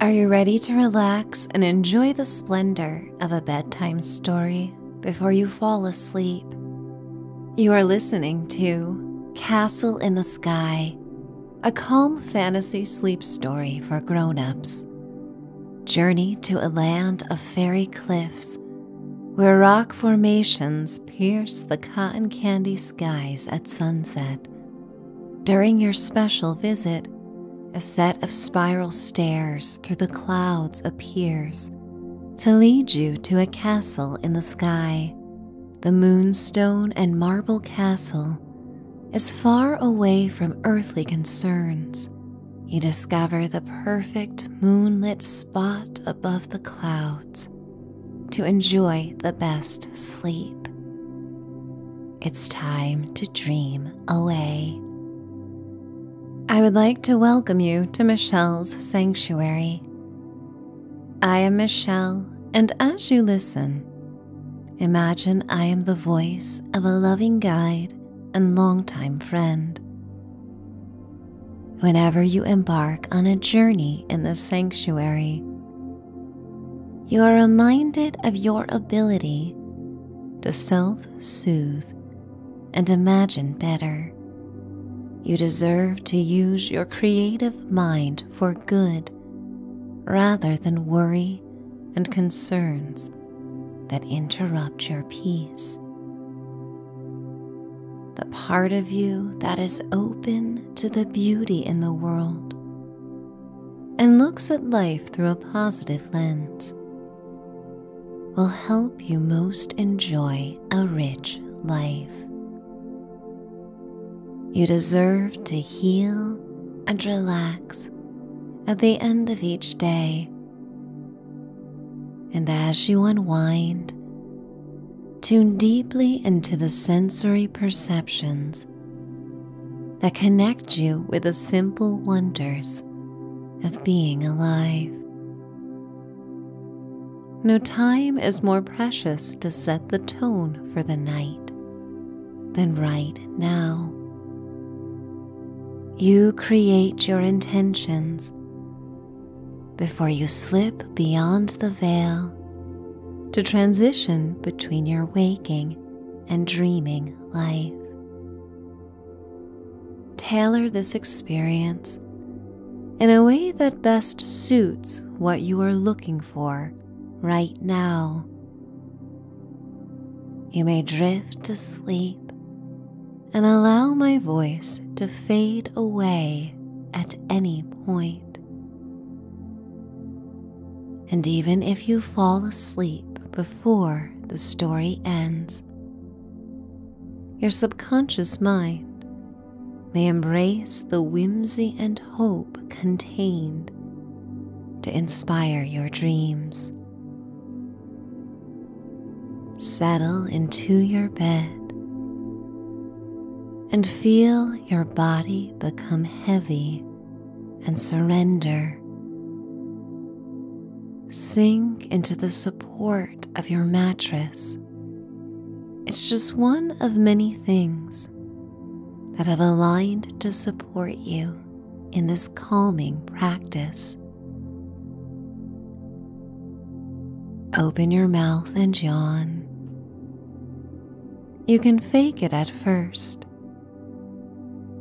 Are you ready to relax and enjoy the splendor of a bedtime story before you fall asleep? You are listening to Castle in the Sky, a calm fantasy sleep story for grown ups. Journey to a land of fairy cliffs where rock formations pierce the cotton candy skies at sunset. During your special visit, a set of spiral stairs through the clouds appears to lead you to a castle in the sky. The moonstone and marble castle is far away from earthly concerns. You discover the perfect moonlit spot above the clouds to enjoy the best sleep sleep. It's time to dream away. I would like to welcome you to Michelle's Sanctuary. I am Michelle, and as you listen, imagine I am the voice of a loving guide and longtime friend. Whenever you embark on a journey in the sanctuary, you are reminded of your ability to self soothe and imagine better. You deserve to use your creative mind for good rather than worry and concerns that interrupt your peace. The part of you that is open to the beauty in the world and looks at life through a positive lens will help you most enjoy a rich life. You deserve to heal and relax at the end of each day. And as you unwind, tune deeply into the sensory perceptions that connect you with the simple wonders of being alive. No time is more precious to set the tone for the night than right now. You create your intentions before you slip beyond the veil to transition between your waking and dreaming life. Tailor this experience in a way that best suits what you are looking for right now. You may drift to sleep and allow my voice to fade away at any point. And even if you fall asleep before the story ends, your subconscious mind may embrace the whimsy and hope contained to inspire your dreams. Settle into your bed and feel your body become heavy and surrender. Sink into the support of your mattress. It's just one of many things that have aligned to support you in this calming practice. Open your mouth and yawn. You can fake it at first,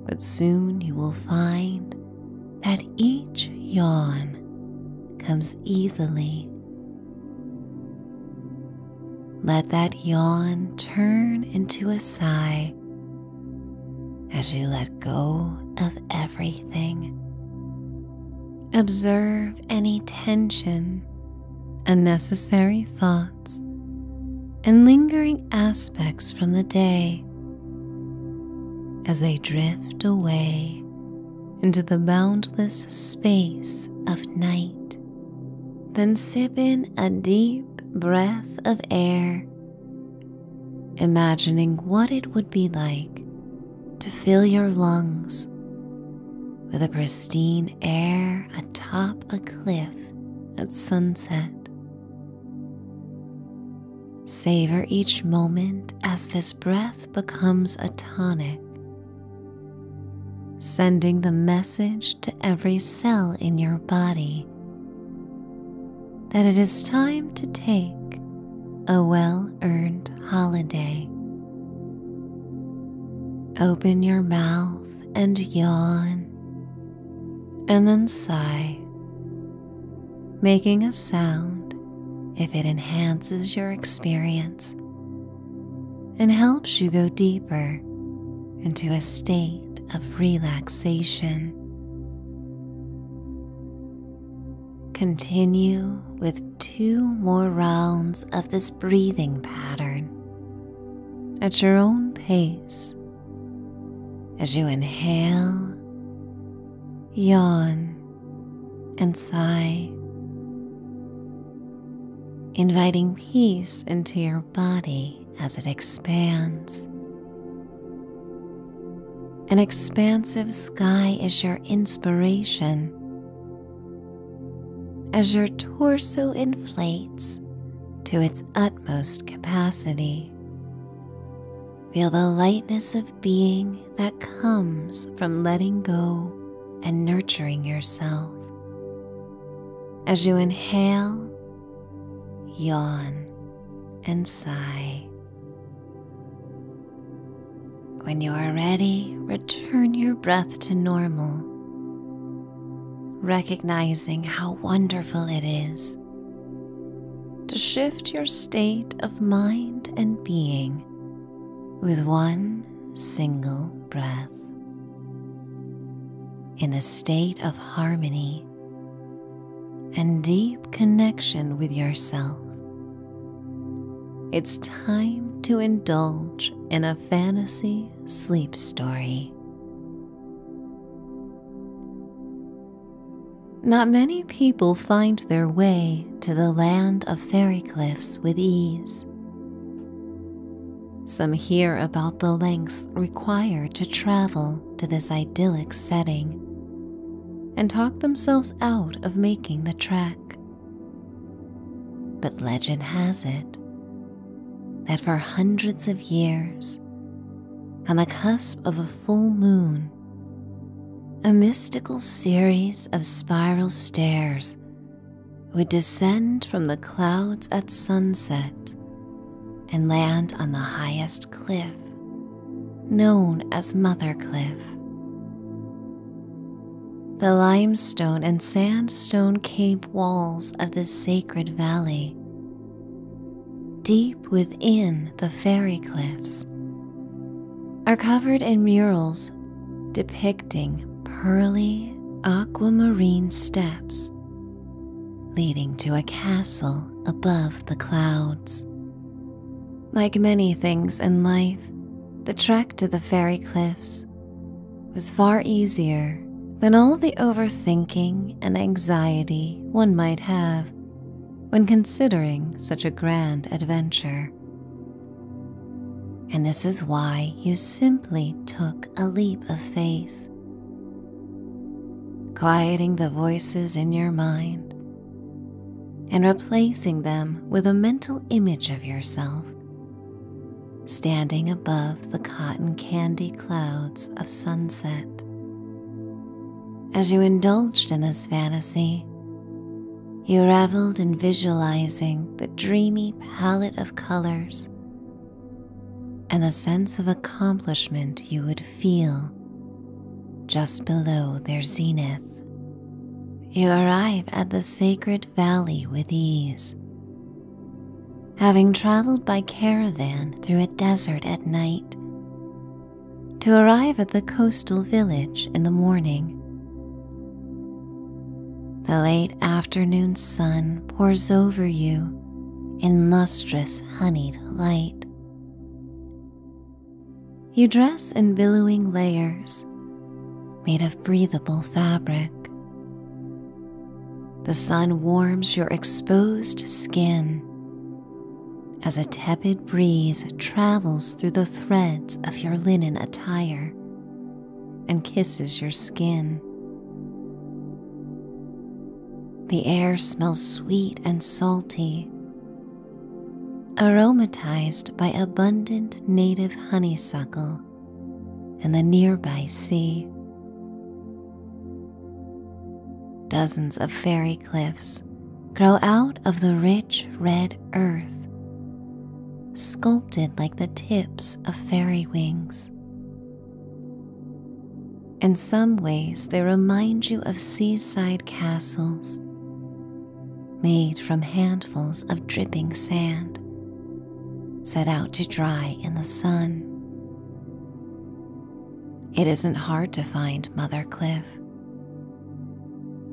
but soon you will find that each yawn comes easily. Let that yawn turn into a sigh as you let go of everything. Observe any tension, and necessary thoughts and lingering aspects from the day as they drift away into the boundless space of night. Then sip in a deep breath of air, imagining what it would be like to fill your lungs with a pristine air atop a cliff at sunset. Savor each moment as this breath becomes a tonic, sending the message to every cell in your body that it is time to take a well earned holiday. Open your mouth and yawn, and then sigh, making a sound if it enhances your experience and helps you go deeper into a state of relaxation. Continue with two more rounds of this breathing pattern at your own pace as you inhale, yawn, and sigh, inviting peace into your body as it expands. An expansive sky is your inspiration as your torso inflates to its utmost capacity. Feel the lightness of being that comes from letting go and nurturing yourself. As you inhale, yawn, and sigh. When you are ready, return your breath to normal recognizing how wonderful it is to shift your state of mind and being with one single breath in a state of harmony and deep connection with yourself. It's time to indulge in a fantasy sleep story. Not many people find their way to the land of fairy cliffs with ease. Some hear about the lengths required to travel to this idyllic setting and talk themselves out of making the trek. But legend has it that for hundreds of years, on the cusp of a full moon, a mystical series of spiral stairs would descend from the clouds at sunset and land on the highest cliff, known as Mother Cliff. The limestone and sandstone cave walls of the sacred valley. Deep within the fairy cliffs are covered in murals depicting pearly aquamarine steps leading to a castle above the clouds. Like many things in life, the trek to the fairy cliffs was far easier than all the overthinking and anxiety one might have when considering such a grand adventure. And this is why you simply took a leap of faith. Quieting the voices in your mind and replacing them with a mental image of yourself standing above the cotton candy clouds of sunset. As you indulged in this fantasy, you reveled in visualizing the dreamy palette of colors and the sense of accomplishment you would feel just below their zenith. You arrive at the sacred valley with ease having traveled by caravan through a desert at night, to arrive at the coastal village in the morning. The late afternoon sun pours over you in lustrous honeyed light. You dress in billowing layers made of breathable fabric, the sun warms your exposed skin as a tepid breeze travels through the threads of your linen attire and kisses your skin. The air smells sweet and salty, aromatized by abundant native honeysuckle and the nearby sea. Dozens of fairy cliffs grow out of the rich red earth, sculpted like the tips of fairy wings. In some ways, they remind you of seaside castles made from handfuls of dripping sand set out to dry in the sun. It isn't hard to find Mother Cliff,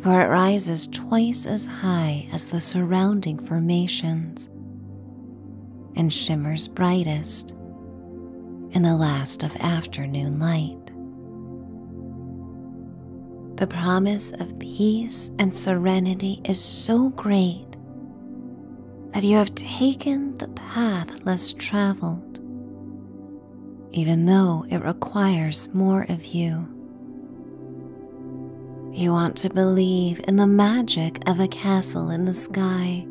for it rises twice as high as the surrounding formations and shimmers brightest in the last of afternoon light. The promise of peace and serenity is so great that you have taken the path less traveled, even though it requires more of you. You want to believe in the magic of a castle in the sky,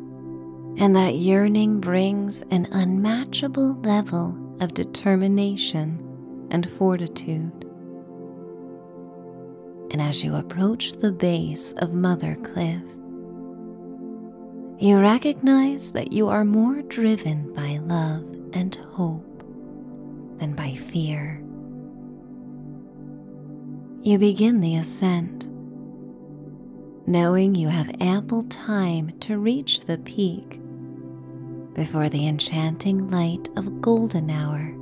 and that yearning brings an unmatchable level of determination and fortitude. And as you approach the base of Mother Cliff, you recognize that you are more driven by love and hope than by fear. You begin the ascent, knowing you have ample time to reach the peak before the enchanting light of golden hour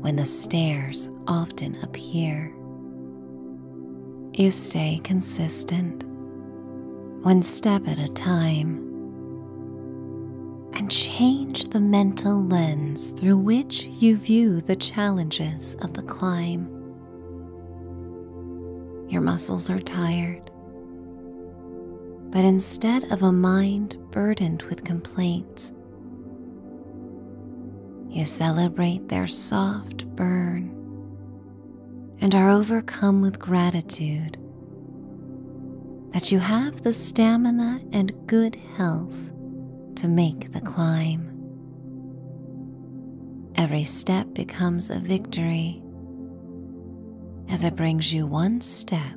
when the stairs often appear. You stay consistent, one step at a time, and change the mental lens through which you view the challenges of the climb. Your muscles are tired, but instead of a mind burdened with complaints, you celebrate their soft burn and are overcome with gratitude that you have the stamina and good health to make the climb. Every step becomes a victory as it brings you one step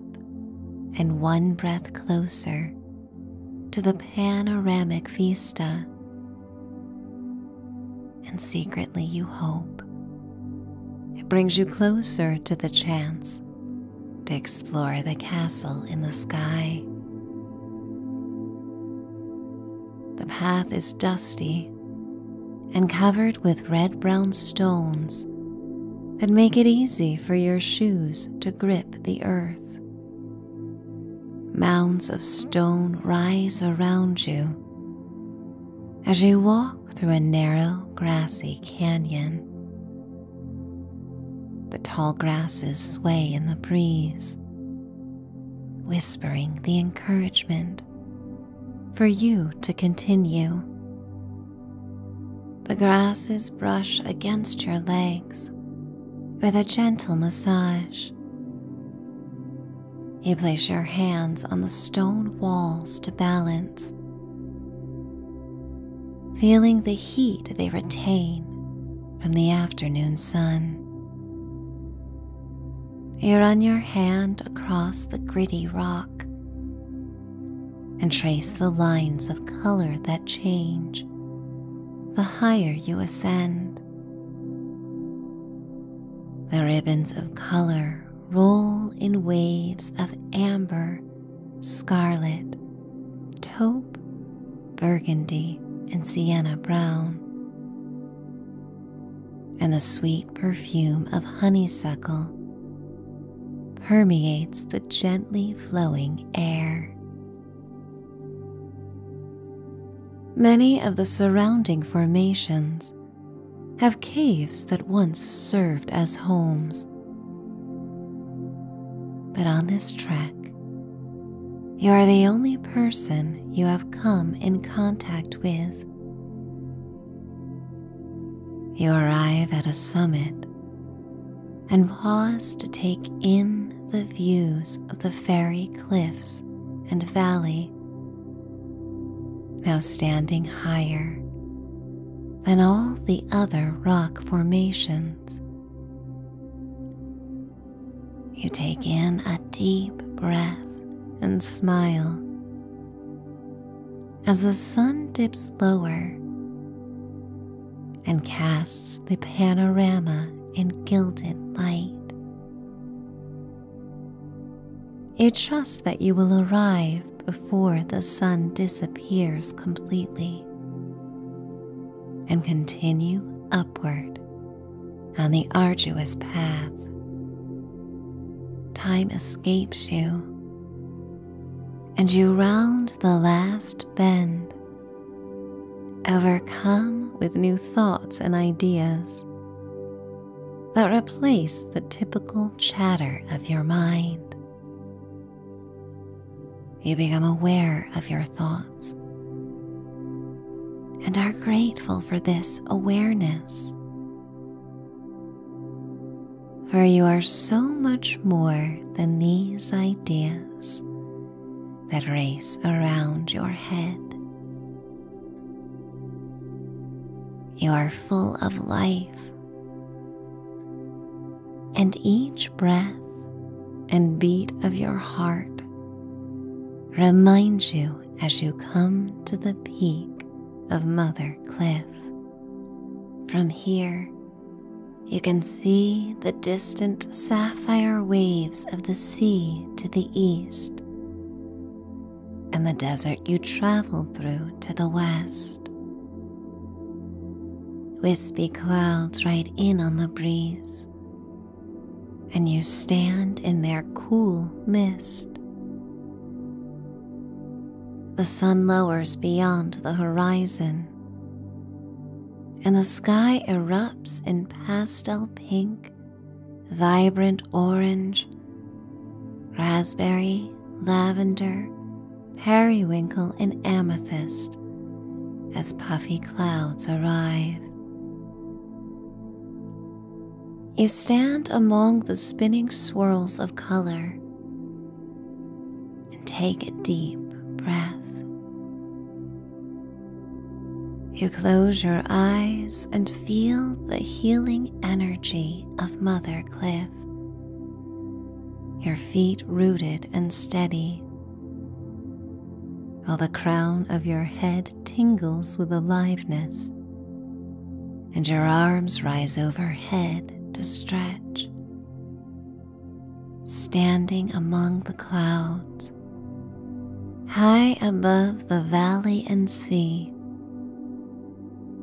and one breath closer to the panoramic vista, and secretly you hope it brings you closer to the chance to explore the castle in the sky. The path is dusty and covered with red brown stones that make it easy for your shoes to grip the earth. Mounds of stone rise around you as you walk through a narrow, grassy canyon. The tall grasses sway in the breeze, whispering the encouragement for you to continue. The grasses brush against your legs with a gentle massage. You place your hands on the stone walls to balance, feeling the heat they retain from the afternoon sun. You run your hand across the gritty rock, and trace the lines of color that change the higher you ascend. The ribbons of color roll in waves of amber, scarlet, taupe, burgundy, and sienna brown. And the sweet perfume of honeysuckle permeates the gently flowing air. Many of the surrounding formations have caves that once served as homes. But on this trek, you are the only person you have come in contact with. You arrive at a summit and pause to take in the views of the fairy cliffs and valley, now standing higher than all the other rock formations. You take in a deep breath and smile. As the sun dips lower, and casts the panorama in gilded light. It trusts that you will arrive before the sun disappears completely and continue upward on the arduous path. Time escapes you, and you round the last bend, overcome with new thoughts and ideas that replace the typical chatter of your mind. You become aware of your thoughts and are grateful for this awareness for you are so much more than these ideas that race around your head. You are full of life, and each breath and beat of your heart reminds you as you come to the peak of Mother Cliff. From here, you can see the distant sapphire waves of the sea to the east and the desert you traveled through to the west. Wispy clouds ride in on the breeze, and you stand in their cool mist. The sun lowers beyond the horizon and the sky erupts in pastel pink, vibrant orange, raspberry, lavender, periwinkle, and amethyst as puffy clouds arrive. You stand among the spinning swirls of color, and take a deep breath. You close your eyes and feel the healing energy of Mother Cliff, your feet rooted and steady, while the crown of your head tingles with aliveness and your arms rise overhead to stretch standing among the clouds, high above the valley and sea.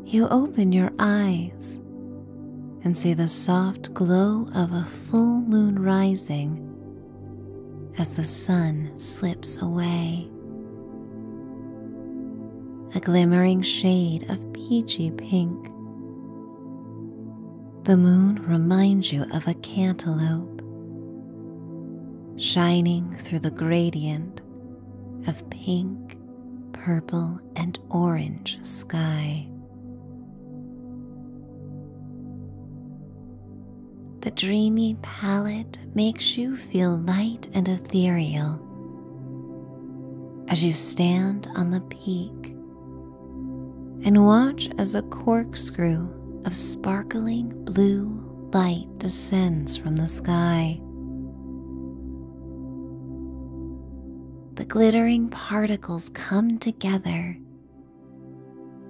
You open your eyes and see the soft glow of a full moon rising as the sun slips away. A glimmering shade of peachy pink the moon reminds you of a cantaloupe shining through the gradient of pink, purple, and orange sky. The dreamy palette makes you feel light and ethereal as you stand on the beach peak. And watch as a corkscrew of sparkling blue light descends from the sky. The glittering particles come together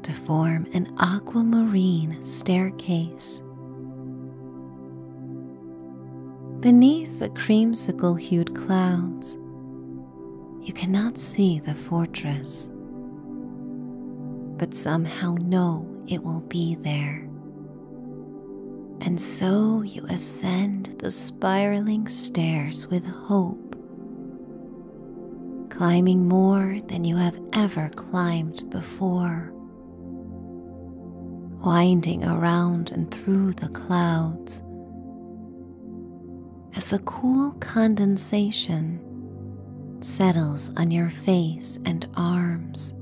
to form an aquamarine staircase. Beneath the creamsicle hued clouds, you cannot see the fortress, but somehow know it will be there. And so you ascend the spiraling stairs with hope, climbing more than you have ever climbed before, winding around and through the clouds, as the cool condensation settles on your face and arms.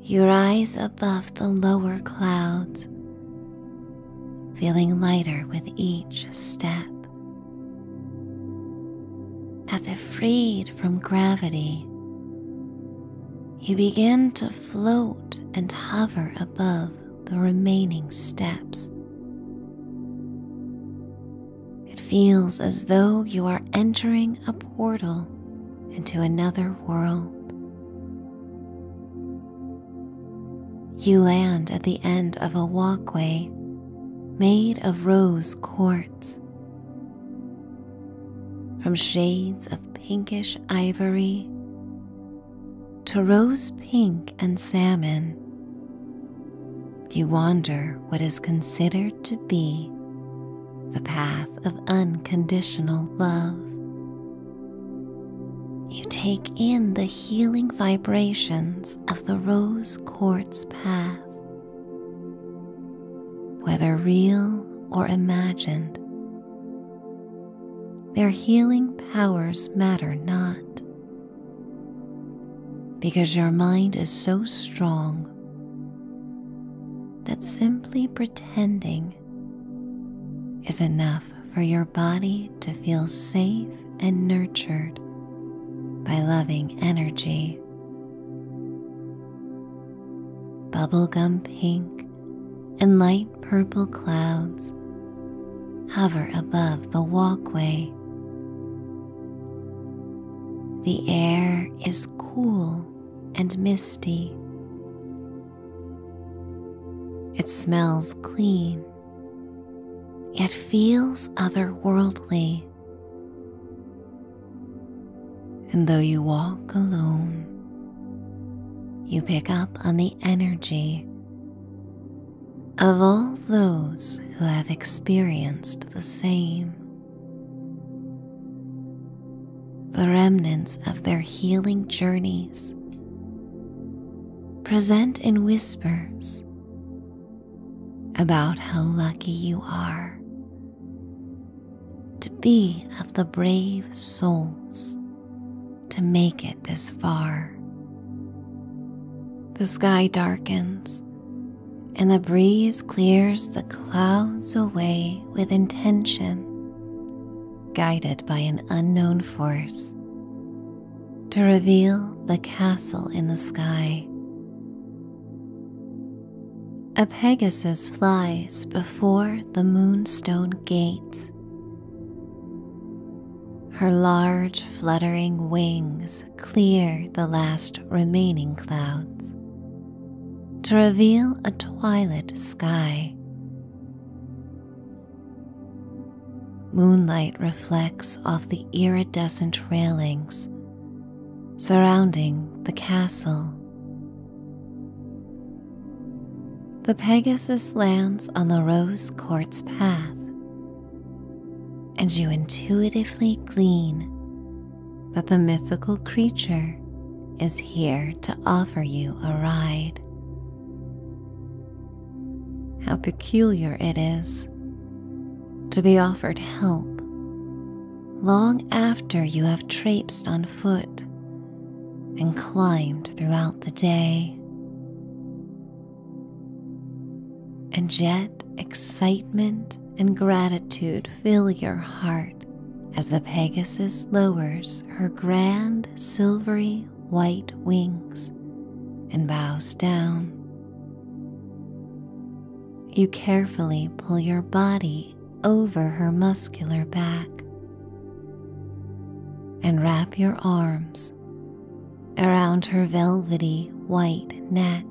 You rise above the lower clouds, feeling lighter with each step. As if freed from gravity, you begin to float and hover above the remaining steps. It feels as though you are entering a portal into another world. You land at the end of a walkway made of rose quartz. From shades of pinkish ivory to rose pink and salmon, you wander what is considered to be the path of unconditional love. You take in the healing vibrations of the rose quartz path. Whether real or imagined, their healing powers matter not, because your mind is so strong that simply pretending is enough for your body to feel safe and nurtured by loving energy. Bubblegum pink and light purple clouds hover above the walkway. The air is cool and misty. It smells clean, yet feels otherworldly. And though you walk alone, you pick up on the energy of all those who have experienced the same. The remnants of their healing journeys present in whispers about how lucky you are to be of the brave souls to make it this far. The sky darkens and the breeze clears the clouds away with intention, guided by an unknown force, to reveal the castle in the sky. A Pegasus flies before the moonstone gates her large fluttering wings clear the last remaining clouds to reveal a twilight sky. Moonlight reflects off the iridescent railings surrounding the castle. The Pegasus lands on the rose quartz path, and you intuitively glean that the mythical creature is here to offer you a ride. How peculiar it is to be offered help long after you have traipsed on foot and climbed throughout the day. And yet, excitement and gratitude fill your heart as the Pegasus lowers her grand silvery white wings and bows down. You carefully pull your body over her muscular back. And wrap your arms around her velvety white neck.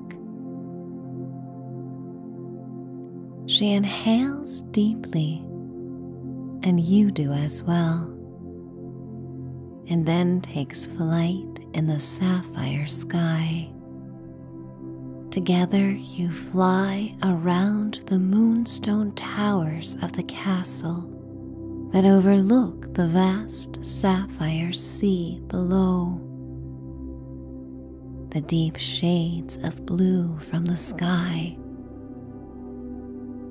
She inhales deeply, and you do as well, and then takes flight in the sapphire sky. Together you fly around the moonstone towers of the castle that overlook the vast sapphire sea below. The deep shades of blue from the sky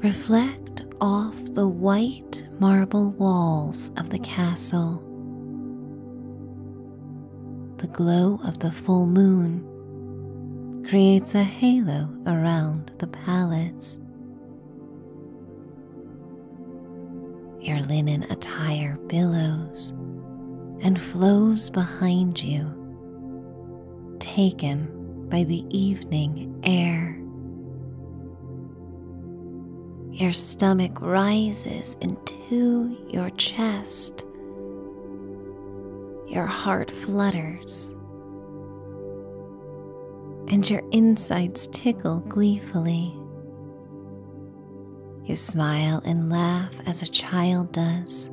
reflect off the white marble walls of the castle. The glow of the full moon creates a halo around the palace. Your linen attire billows and flows behind you, taken by the evening air. Your stomach rises into your chest your heart flutters, and your insides tickle gleefully. You smile and laugh as a child does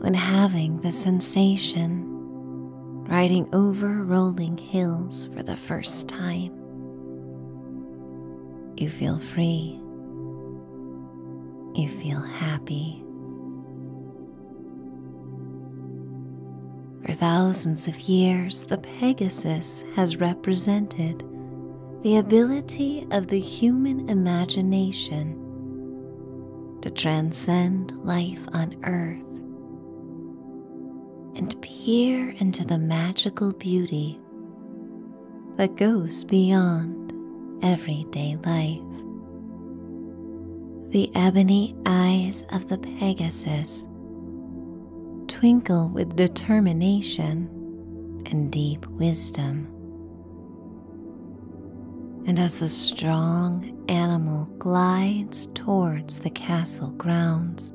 when having the sensation riding over rolling hills for the first time. You feel free you feel happy. For thousands of years, the Pegasus has represented the ability of the human imagination to transcend life on Earth and peer into the magical beauty that goes beyond everyday life. The ebony eyes of the Pegasus twinkle with determination and deep wisdom. And as the strong animal glides towards the castle grounds,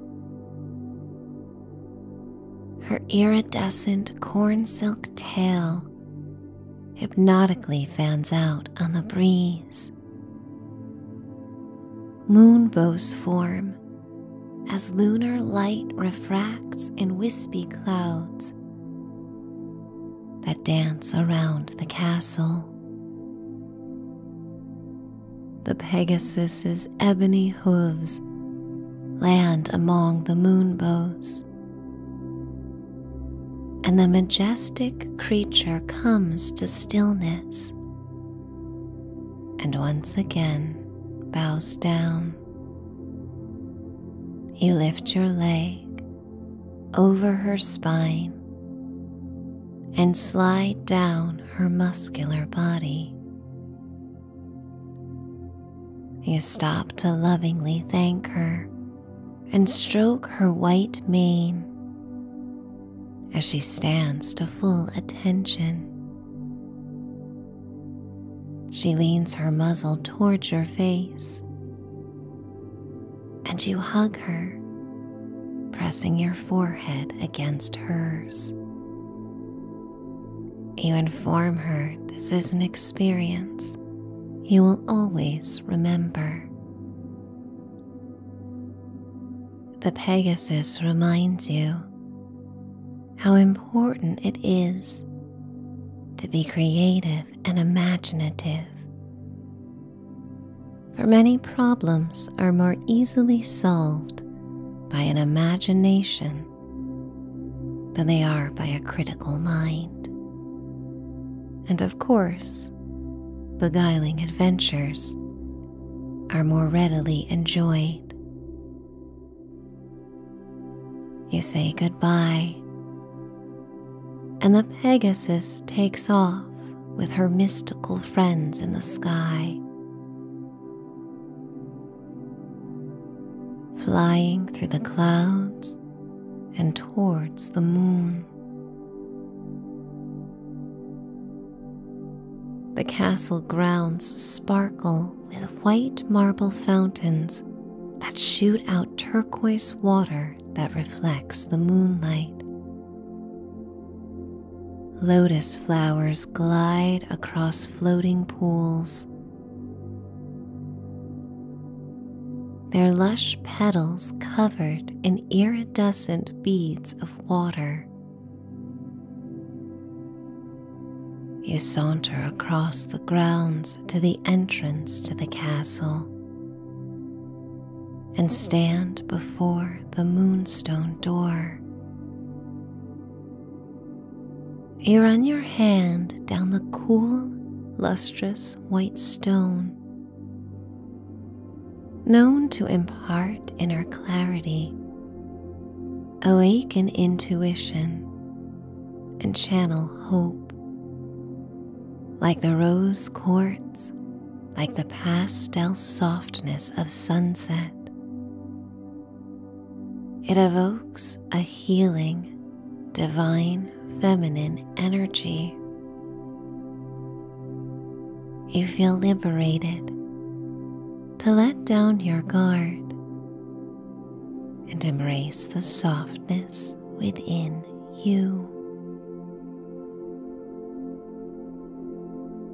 her iridescent corn silk tail hypnotically fans out on the breeze. Moonbow's form as lunar light refracts in wispy clouds that dance around the castle. The Pegasus's ebony hooves land among the moonbows, and the majestic creature comes to stillness and once again bows down. You lift your leg over her spine and slide down her muscular body. You stop to lovingly thank her and stroke her white mane as she stands to full attention. She leans her muzzle towards your face, and you hug her, pressing your forehead against hers. You inform her this is an experience you will always remember. The Pegasus reminds you how important it is to be creative and imaginative. For many problems are more easily solved by an imagination than they are by a critical mind. And of course, beguiling adventures are more readily enjoyed. You say goodbye, and the Pegasus takes off with her mystical friends in the sky. Flying through the clouds, and towards the moon. The castle grounds sparkle with white marble fountains that shoot out turquoise water that reflects the moonlight. Lotus flowers glide across floating pools their lush petals covered in iridescent beads of water. You saunter across the grounds to the entrance to the castle and stand before the moonstone door. You run your hand down the cool, lustrous white stone, known to impart inner clarity, awaken intuition, and channel hope. Like the rose quartz, like the pastel softness of sunset, it evokes a healing divine feminine energy. You feel liberated to let down your guard and embrace the softness within you.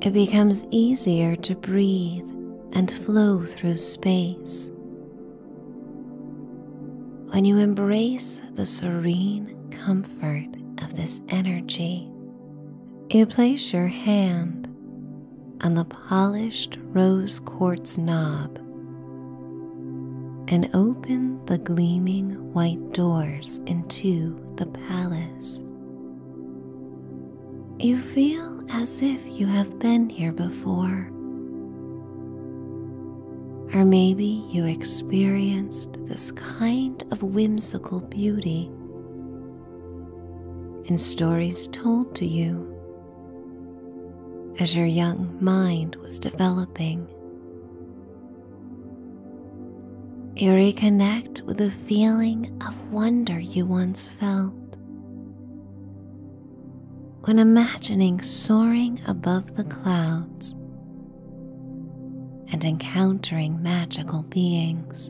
It becomes easier to breathe and flow through space when you embrace the serene comfort of this energy, you place your hand on the polished rose quartz knob and open the gleaming white doors into the palace. You feel as if you have been here before. Or maybe you experienced this kind of whimsical beauty in stories told to you as your young mind was developing. You reconnect with the feeling of wonder you once felt when imagining soaring above the clouds and encountering magical beings.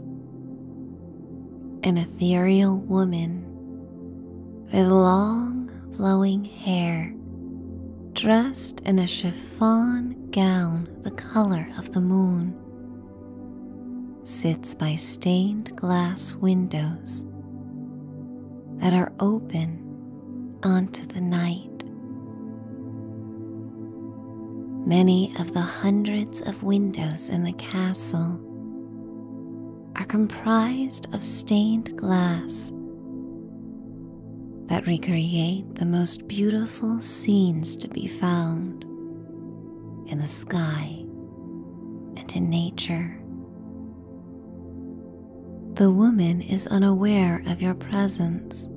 An ethereal woman with long flowing hair, dressed in a chiffon gown the color of the moon, sits by stained glass windows that are open onto the night. Many of the hundreds of windows in the castle are comprised of stained glass that recreate the most beautiful scenes to be found in the sky and in nature. The woman is unaware of your presence,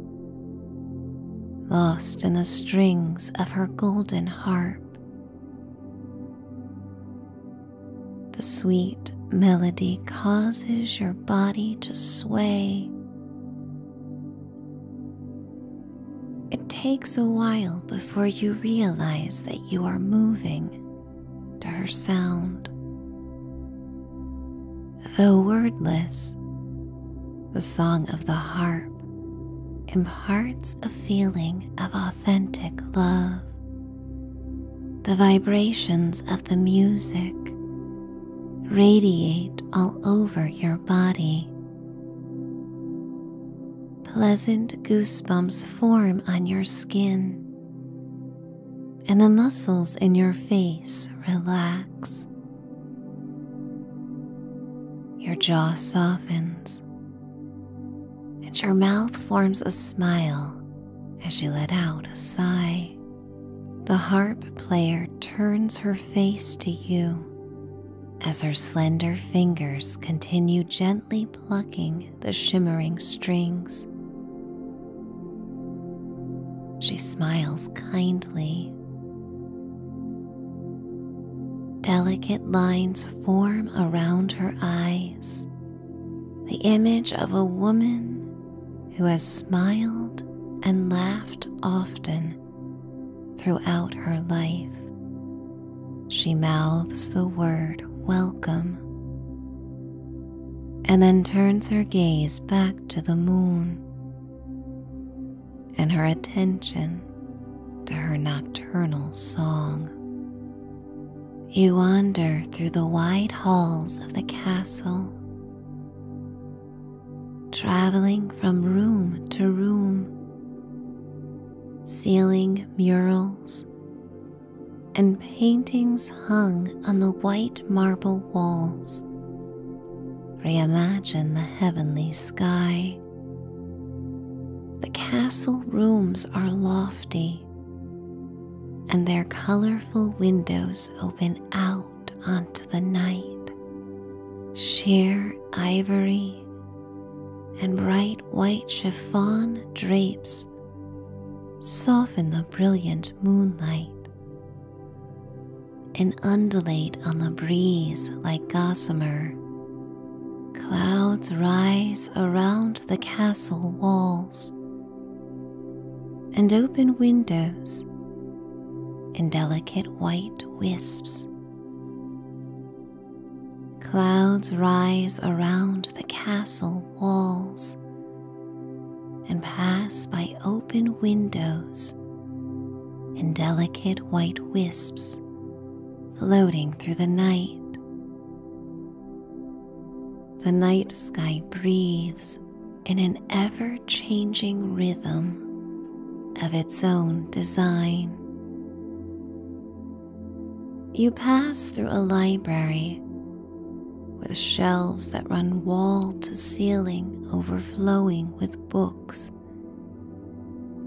lost in the strings of her golden harp. The sweet melody causes your body to sway. It takes a while before you realize that you are moving to her sound. Though wordless, the song of the harp imparts a feeling of authentic love. The vibrations of the music radiate all over your body. Pleasant goosebumps form on your skin and the muscles in your face relax. Your jaw softens, and your mouth forms a smile as you let out a sigh. The harp player turns her face to you as her slender fingers continue gently plucking the shimmering strings. She smiles kindly. Delicate lines form around her eyes, the image of a woman who has smiled and laughed often throughout her life. She mouths the word welcome and then turns her gaze back to the moon and her attention to her nocturnal song. You wander through the wide halls of the castle, traveling from room to room, ceiling murals and paintings hung on the white marble walls. Reimagine the heavenly sky. The castle rooms are lofty, and their colorful windows open out onto the night. Sheer ivory and bright white chiffon drapes soften the brilliant moonlight and undulate on the breeze like gossamer. Clouds rise around the castle walls and open windows in delicate white wisps. Clouds rise around the castle walls and pass by open windows in delicate white wisps floating through the night. The night sky breathes in an ever changing rhythm of its own design. You pass through a library with shelves that run wall to ceiling overflowing with books,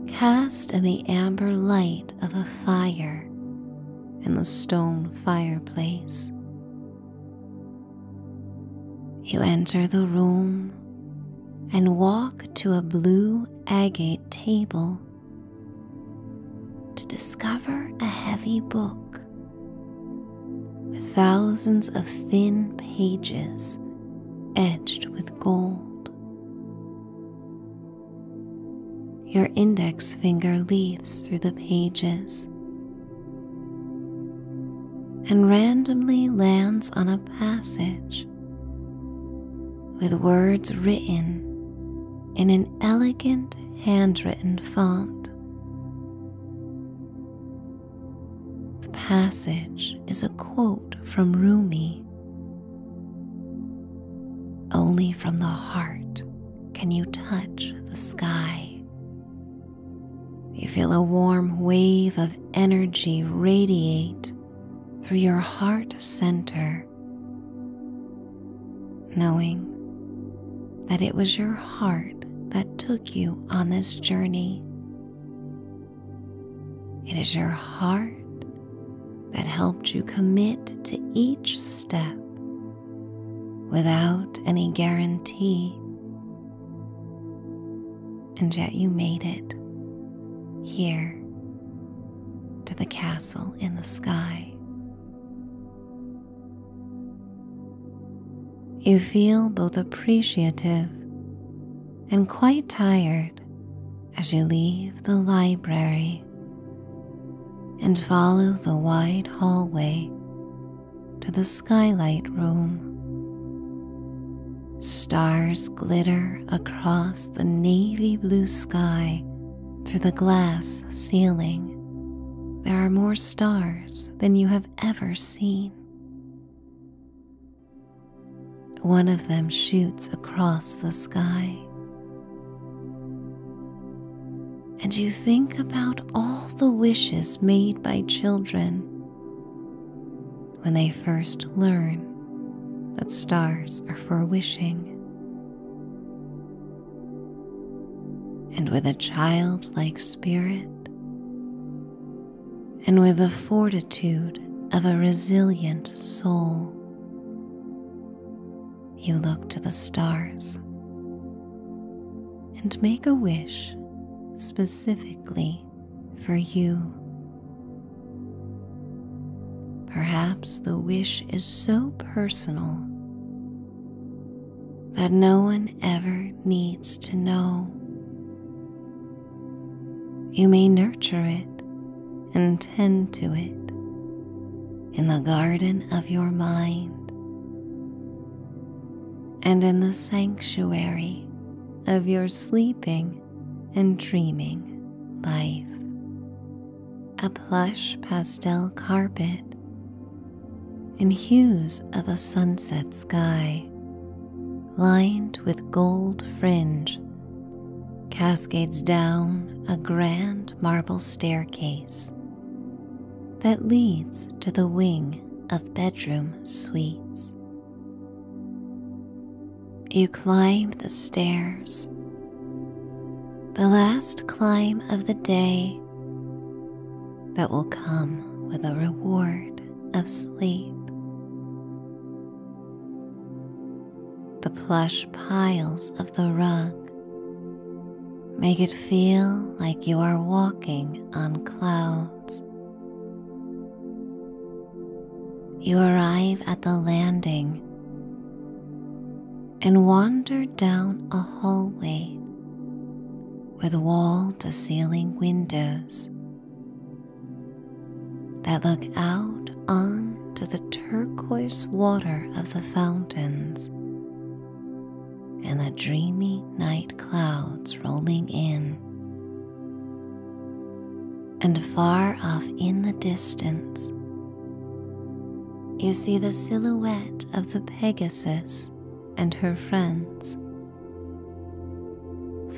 cast in the amber light of a fire in the stone fireplace. You enter the room and walk to a blue agate table to discover a heavy book with thousands of thin pages edged with gold. Your index finger leaves through the pages and randomly lands on a passage with words written in an elegant handwritten font. The passage is a quote from Rumi Only from the heart can you touch the sky. You feel a warm wave of energy radiate through your heart center knowing that it was your heart that took you on this journey. It is your heart that helped you commit to each step without any guarantee. And yet you made it here to the castle in the sky. You feel both appreciative and quite tired as you leave the library and follow the wide hallway to the skylight room. Stars glitter across the navy blue sky through the glass ceiling, there are more stars than you have ever seen. One of them shoots across the sky. And you think about all the wishes made by children when they first learn that stars are for wishing and with a childlike spirit, and with the fortitude of a resilient soul. You look to the stars and make a wish specifically for you. Perhaps the wish is so personal that no one ever needs to know. You may nurture it and tend to it in the garden of your mind and in the sanctuary of your sleeping and dreaming life a plush pastel carpet, in hues of a sunset sky lined with gold fringe cascades down a grand marble staircase that leads to the wing of bedroom suites. You climb the stairs. The last climb of the day that will come with a reward of sleep. The plush piles of the rug make it feel like you are walking on clouds. You arrive at the landing and wandered down a hallway with wall to ceiling windows that look out onto the turquoise water of the fountains and the dreamy night clouds rolling in. And far off in the distance, you see the silhouette of the Pegasus and her friends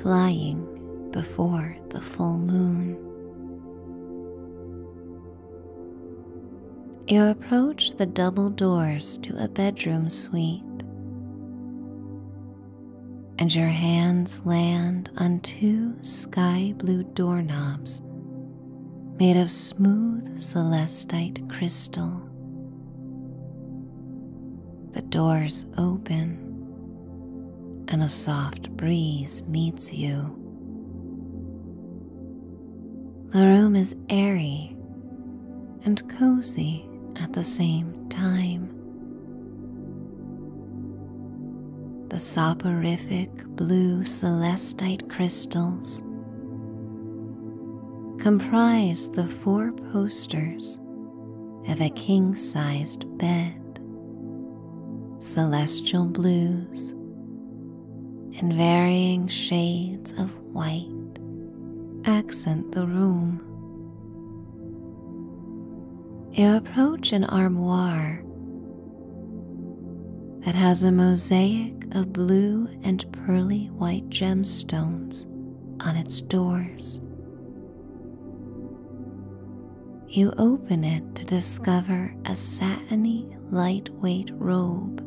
flying before the full moon. You approach the double doors to a bedroom suite, and your hands land on two sky blue doorknobs made of smooth celestite crystal. The doors open, and a soft breeze meets you. The room is airy and cozy at the same time. The soporific blue celestite crystals comprise the four posters of a king sized bed. Celestial blues and varying shades of white accent the room. You approach an armoire that has a mosaic of blue and pearly white gemstones on its doors. You open it to discover a satiny, lightweight robe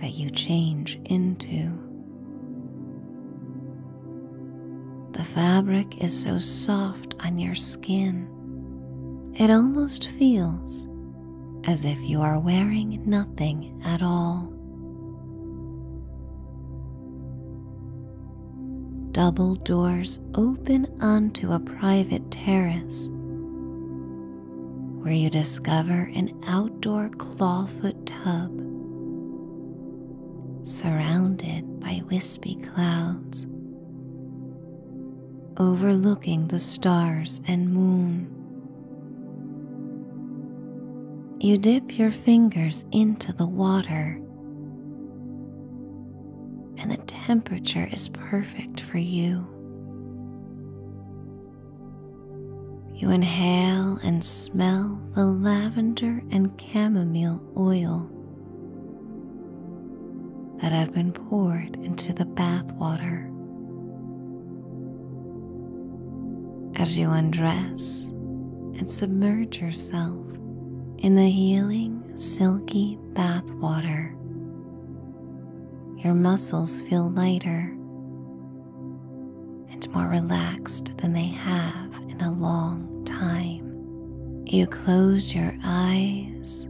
that you change into. The fabric is so soft on your skin, it almost feels as if you are wearing nothing at all. Double doors open onto a private terrace where you discover an outdoor clawfoot tub surrounded by wispy clouds overlooking the stars and moon. You dip your fingers into the water, and the temperature is perfect for you. You inhale and smell the lavender and chamomile oil that have been poured into the bath water. As you undress and submerge yourself in the healing, silky bath water, your muscles feel lighter and more relaxed than they have in a long time. You close your eyes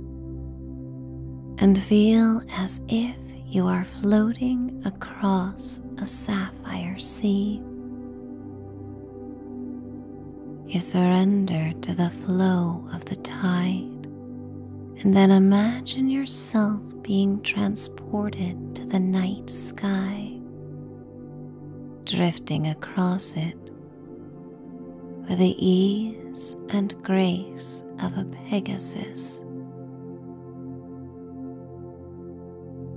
and feel as if you are floating across a sapphire sea. You surrender to the flow of the tide and then imagine yourself being transported to the night sky, drifting across it with ease and grace of a Pegasus.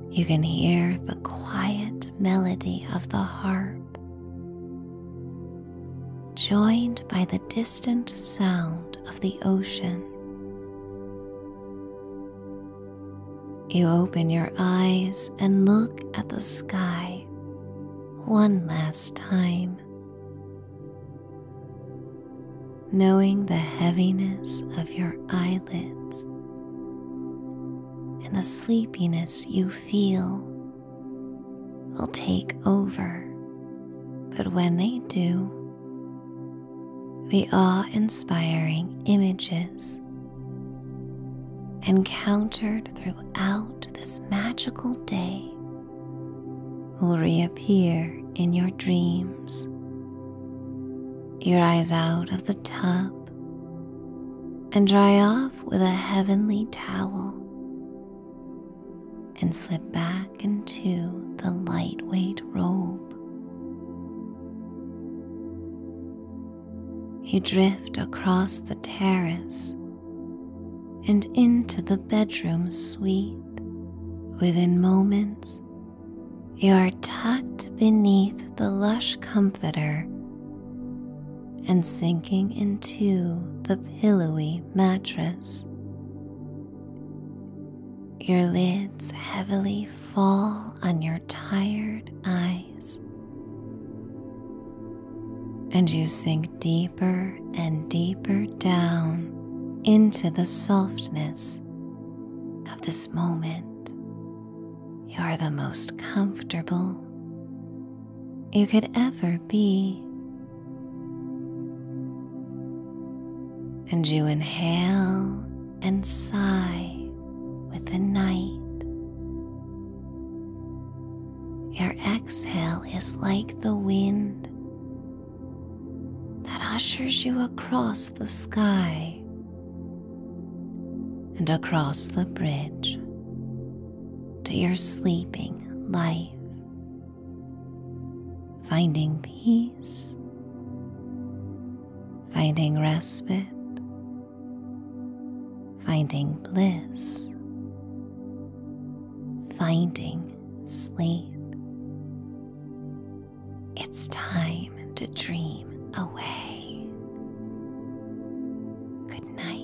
You can hear the quiet melody of the harp, joined by the distant sound of the ocean. You open your eyes and look at the sky one last time knowing the heaviness of your eyelids and the sleepiness you feel will take over. But when they do, the awe inspiring images encountered throughout this magical day will reappear in your dreams. Your eyes out of the tub and dry off with a heavenly towel and slip back into the lightweight robe. You drift across the terrace and into the bedroom suite. Within moments, you are tucked beneath the lush comforter and sinking into the pillowy mattress. Your lids heavily fall on your tired eyes, and you sink deep deeper and deeper down into the softness of this moment. You are the most comfortable you could ever be. And you inhale and sigh with the night. Your exhale is like the wind that ushers you across the sky and across the bridge to your sleeping life, finding peace, finding respite, finding bliss, finding sleep. It's time to dream away. Good night.